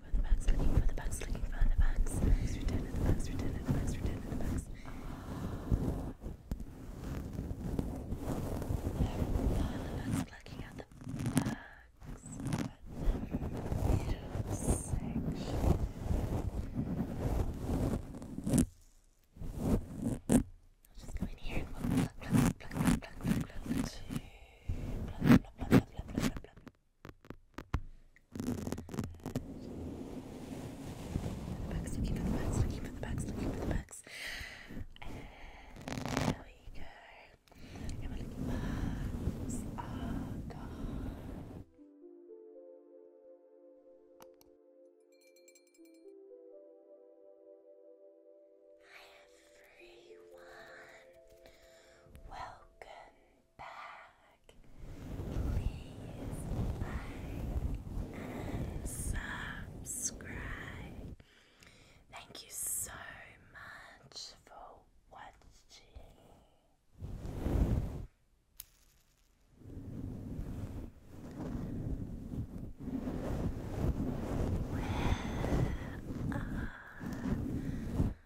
For the bugs, looking for the bugs, looking for the bugs. Bugs, the bugs, return the bugs, return the bugs. There we go, the bugs looking at the bugs. But the I'll just go in here and pluck, pluck, pluck, pluck, pluck, pluck, pluck, pluck, pluck, pluck, pluck, pluck, pluck, pluck, pluck, Bags, looking for the bags, looking for the bags, looking for the bags. And there we go. And bags are ah, gone everyone. Welcome back. Please like and subscribe. Thank you so much for watching. Where are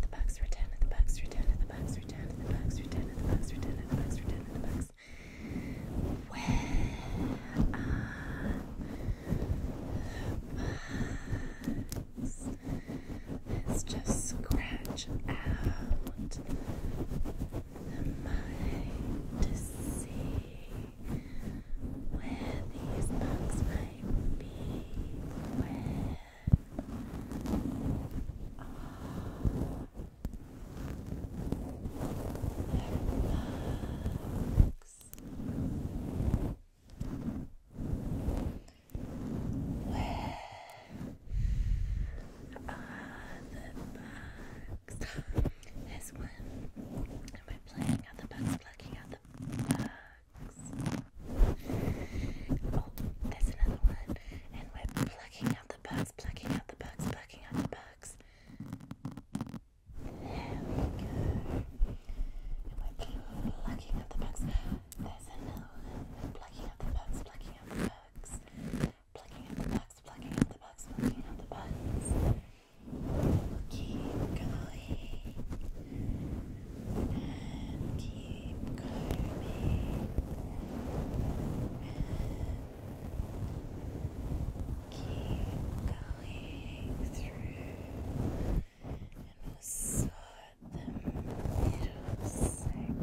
the bugs. Return of the bugs, return of the bugs, return of the bugs, return of the bugs, return of the bugs, return of the bugs, return of the bugs. Where the bugs? let just scratch out am I to see where these bugs might be? Where are the bugs? Where are the bugs? Here's one. And we're plucking out the bugs, plucking out the bugs. Oh, there's another one. And we're plucking out the bugs, plucking out the bugs, plucking out the bugs. There we go. And we're plucking out the bugs. There's another one. plucking out the bugs, plucking out the bugs. Plucking out the bugs, plucking out the bugs, plucking out the bugs. Keep going. And keep combing. And keep going through. And we'll sort the middle section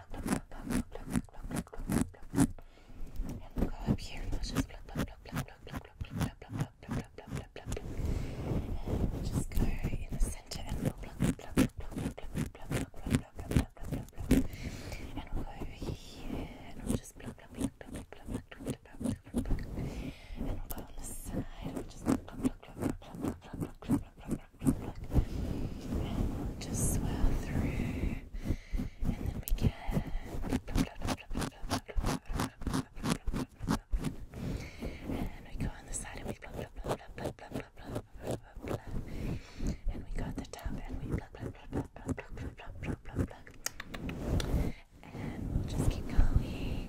and we'll go up here and let's just pluck, pluck, pluck, pluck, pluck, pluck, pluck, pluck, pluck, pluck, pluck, pluck, pluck, pluck, pluck. And we'll just go in the center and we'll pluck, pluck, pluck, pluck, pluck, pluck, pluck, pluck, pluck, pluck, pluck, pluck, pluck. And we'll go over here and we'll just pluck, pluck, pluck, pluck, pluck, pluck, pluck, pluck, pluck, pluck. And we'll go on the side and we'll just pluck, pluck, pluck, pluck, pluck, pluck, pluck, pluck, pluck, pluck, pluck just swirl through, and then we can. And we go on the side and we And we go on the top and we And we just keep going.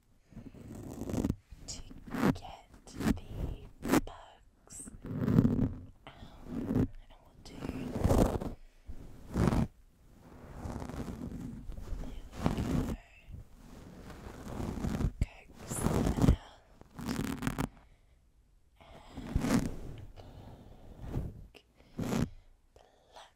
to get the bugs out, and we'll do. There we go. out. And pluck, pluck,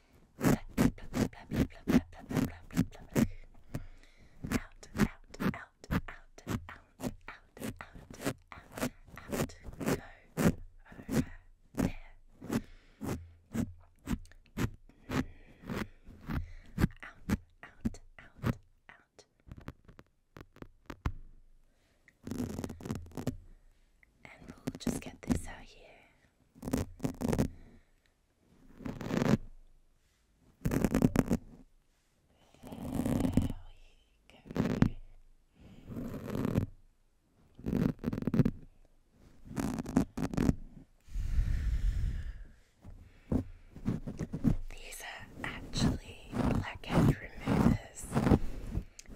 out, out, out, out, out, out, out, out, go over there. Out, out, out, out. And we'll just get this out here. There we go. These are actually blackhead removers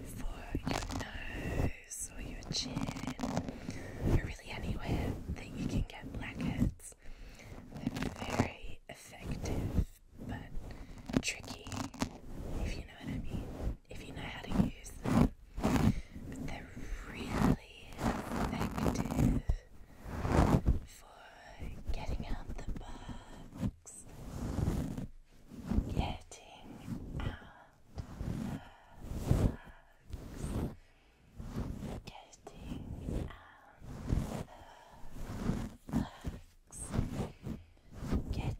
for your nose or your chin, or really anywhere that you can get blackheads. They're very effective but tricky, if you know what I mean, if you know how to use them. But they're really effective for getting out the bugs. Getting out hugs. Getting out the hugs. Getting out the hugs. Getting out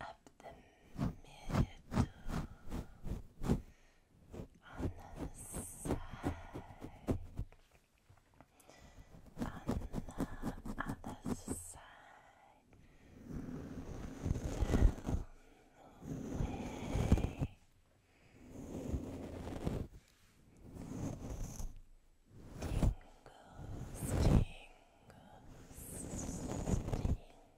up the middle, on the side, on the other side, down the way. Tingles, tingles, tingles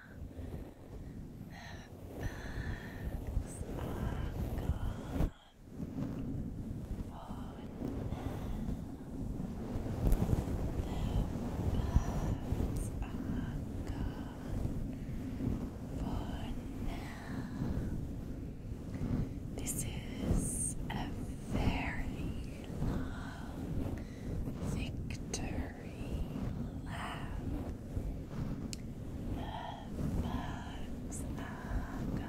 Her bags are gone. Oh no, their bags are gone. For now, this is a very long victory furry laugh. The bugs are gone for now, for now. For now, for now,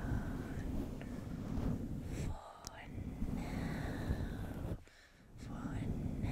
for now.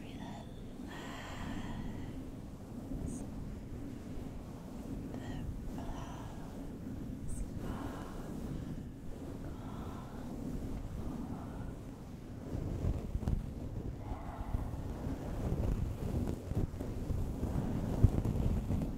Relax. The clouds are gone. Now.